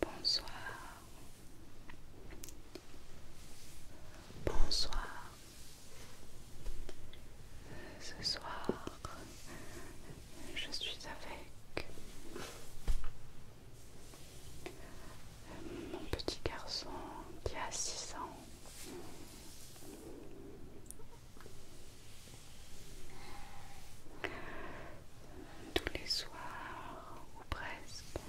Bonsoir. Bonsoir. Ce soir, je suis avec mon petit garçon qui a 6 ans. Tous les soirs, ou presque,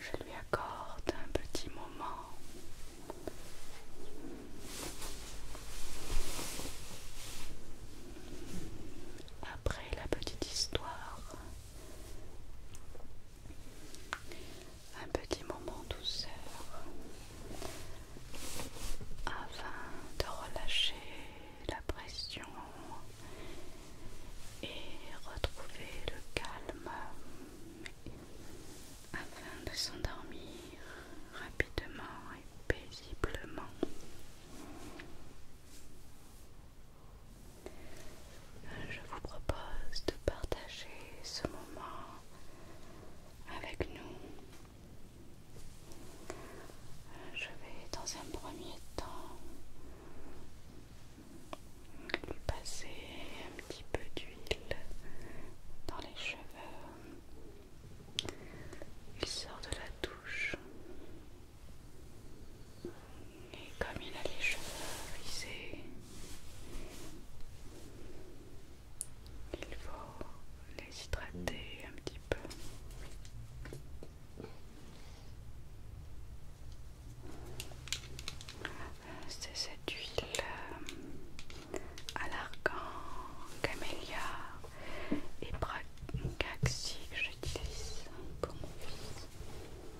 je lui accorde un petit moment. Après la petite histoire un petit moment douceur afin de relâcher la pression et retrouver le calme afin de s'endormir rapidement et paisiblement. Je vous propose de partager ce moment avec nous. Je vais dans un premier temps lui passer un petit peu d'huile dans les cheveux. Il sort de la douche. Et comme il a les cheveux brisés, il faut les hydrater un petit peu. C'est cette huile à euh, l'argan, camélia et bracaxi que j'utilise pour mon fils.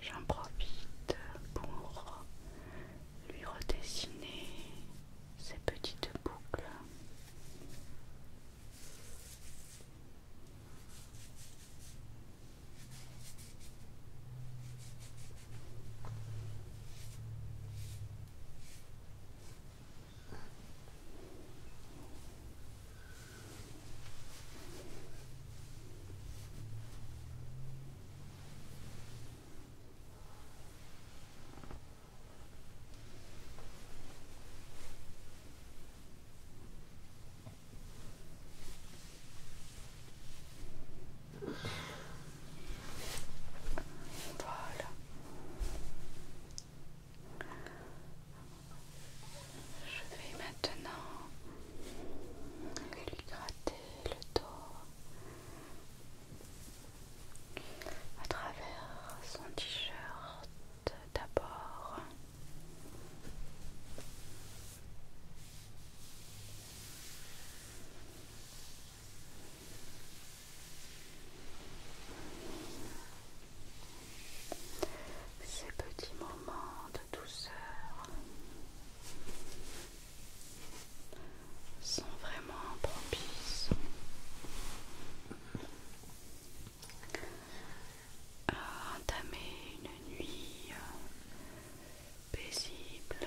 J'en profite pour lui redessiner ses petites boucles. Voilà. Je vais maintenant lui gratter le dos à travers son t-shirt d'abord. Ces petits moments de douceur sont vraiment propices à entamer une nuit euh, paisible.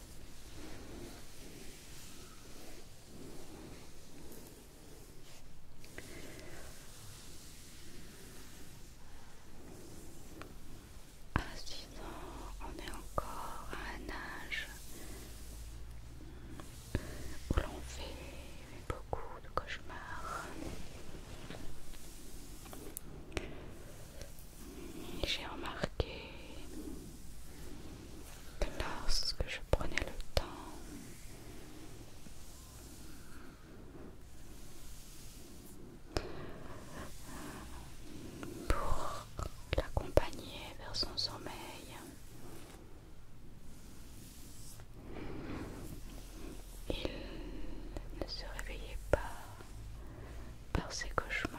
À on est encore à un âge où l'on fait beaucoup de cauchemars j'ai remarqué que lorsque je prenais le temps pour l'accompagner vers son sommeil, il ne se réveillait pas par ses cauchemars.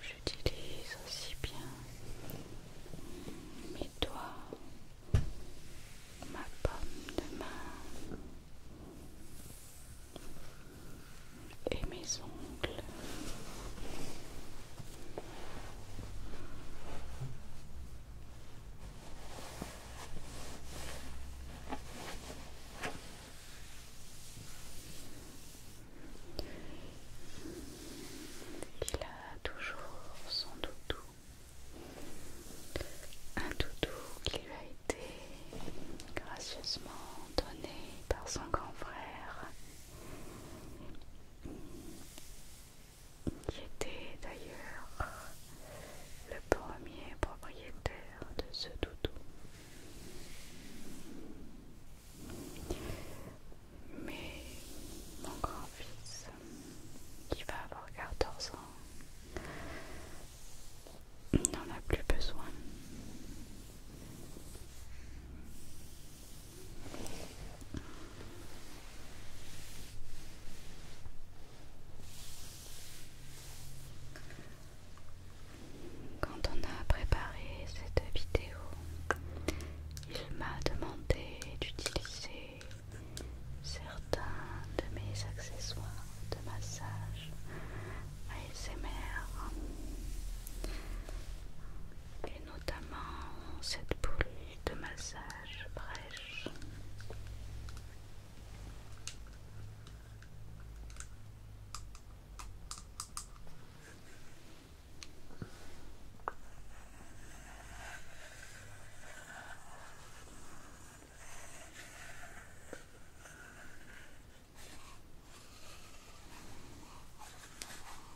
J'utilise aussi bien mes doigts, ma pomme de main et mes ongles il a toujours son doudou, un doudou qui lui a été gracieusement donné par son grand frère qui était d'ailleurs le premier propriétaire de ce doudou. Mais mon grand-fils, qui va avoir 14 ans, n'en a plus besoin. Quand on a préparé cette vidéo, il m'a demandé d'utiliser certains de mes accessoires de massage ASMR et notamment cette boule de massage brèche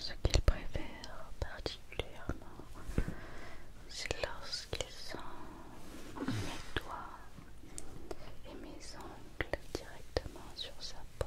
Ce qu'il préfère particulièrement, c'est lorsqu'il sens mes doigts et mes ongles directement sur sa peau.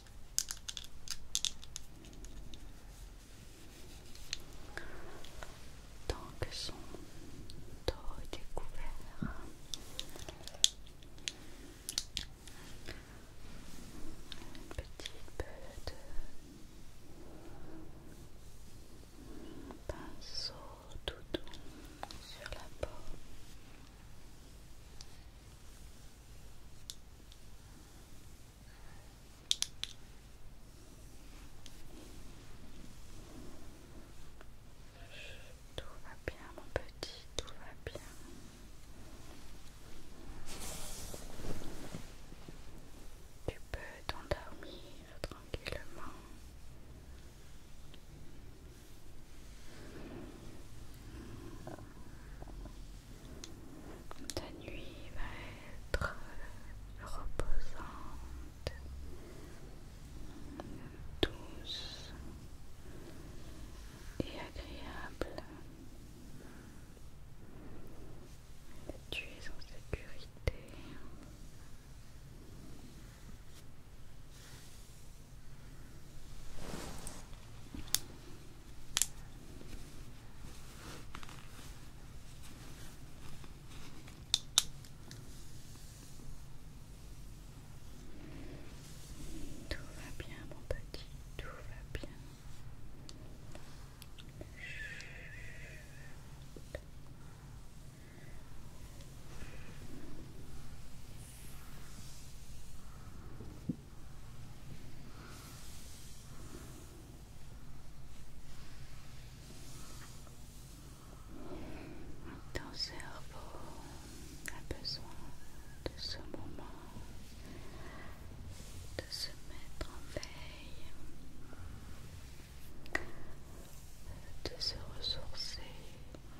Tant que son dos est découvert, petite peu de pinceau tout doux sur la peau. Tout va bien mon petit, tout va bien. Tu peux t'endormir tranquillement. Ta nuit va être reposante, douce et agréable. Tu es en sécurité. Tout va bien, mon petit, tout va bien. Ton cerveau a besoin de ce moment de se mettre en veille, de se ressourcer,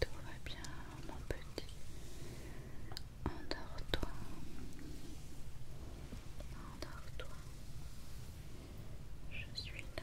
Tout va bien, mon petit. Endors-toi. Endors-toi. Je suis là.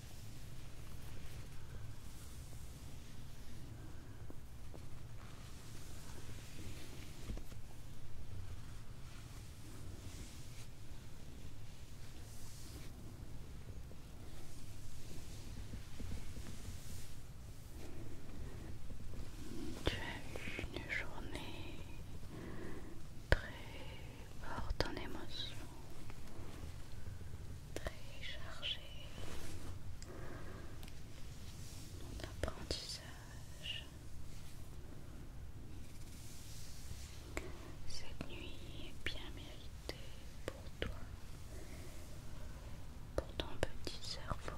Tu as eu une journée très forte en émotion très chargé Mon apprentissage. Cette nuit est bien méritée pour toi, pour ton petit cerveau.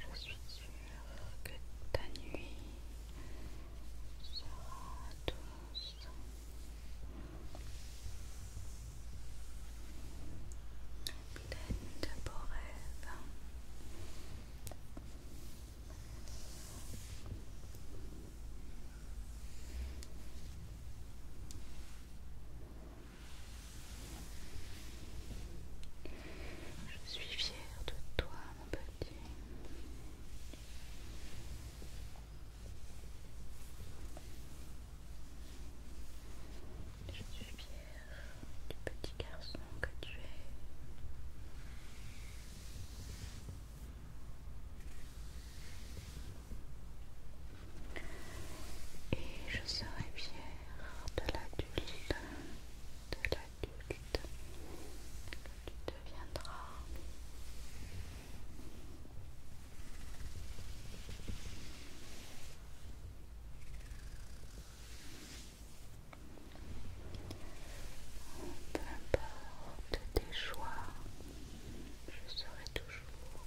Je suis sûre que ta nuit sera douce. Pleine de beaux rêves. Je suis fier de toi, mon petit. Je suis fière du petit garçon que tu es. Et je serai fière de l'adulte, de l'adulte que tu deviendras. Peu importe tes choix, je serai toujours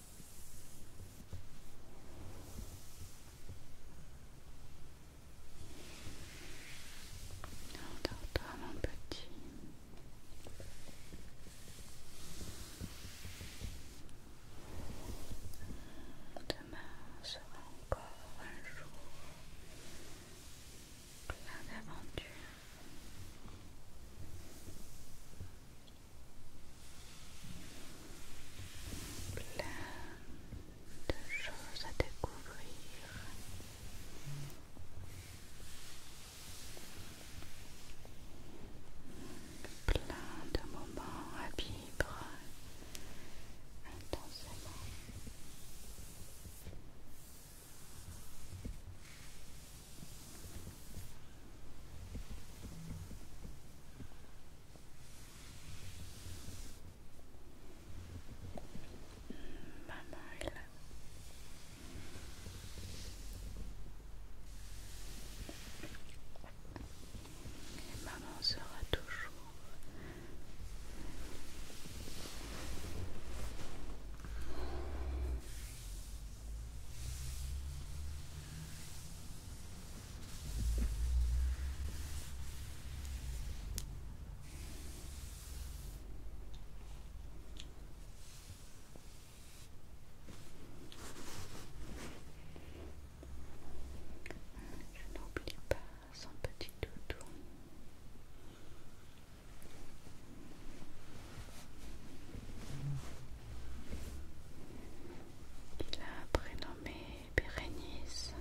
dors mon petit. Demain sera encore un jour plein d'aventures plein de choses à découvrir. Plein de moments à vivre intensément. Maman est là. maman sera toujours je n'oublie pas son petit doudou il a prénommé Bérénice.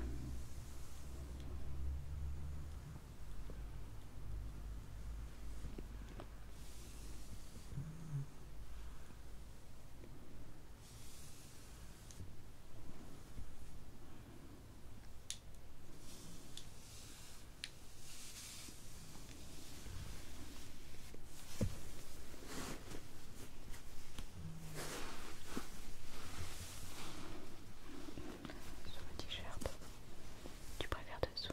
Sous le t-shirt. Tu préfères dessous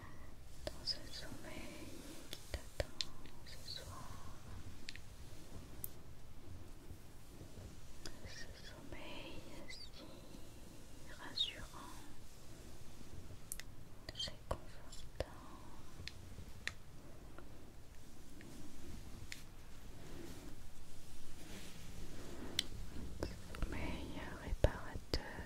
dans ce sommeil qui t'attend ce soir. Ce sommeil si rassurant, si confortant. Sommeil réparateur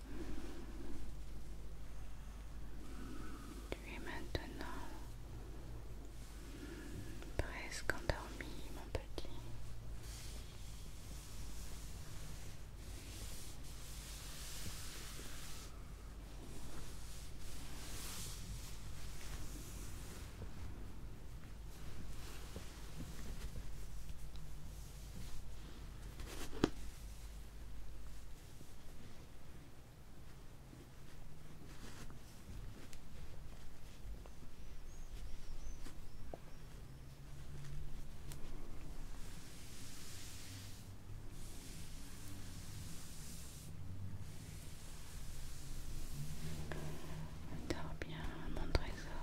Tu es maintenant presque endormi, mon petit. Dors bien, mon trésor.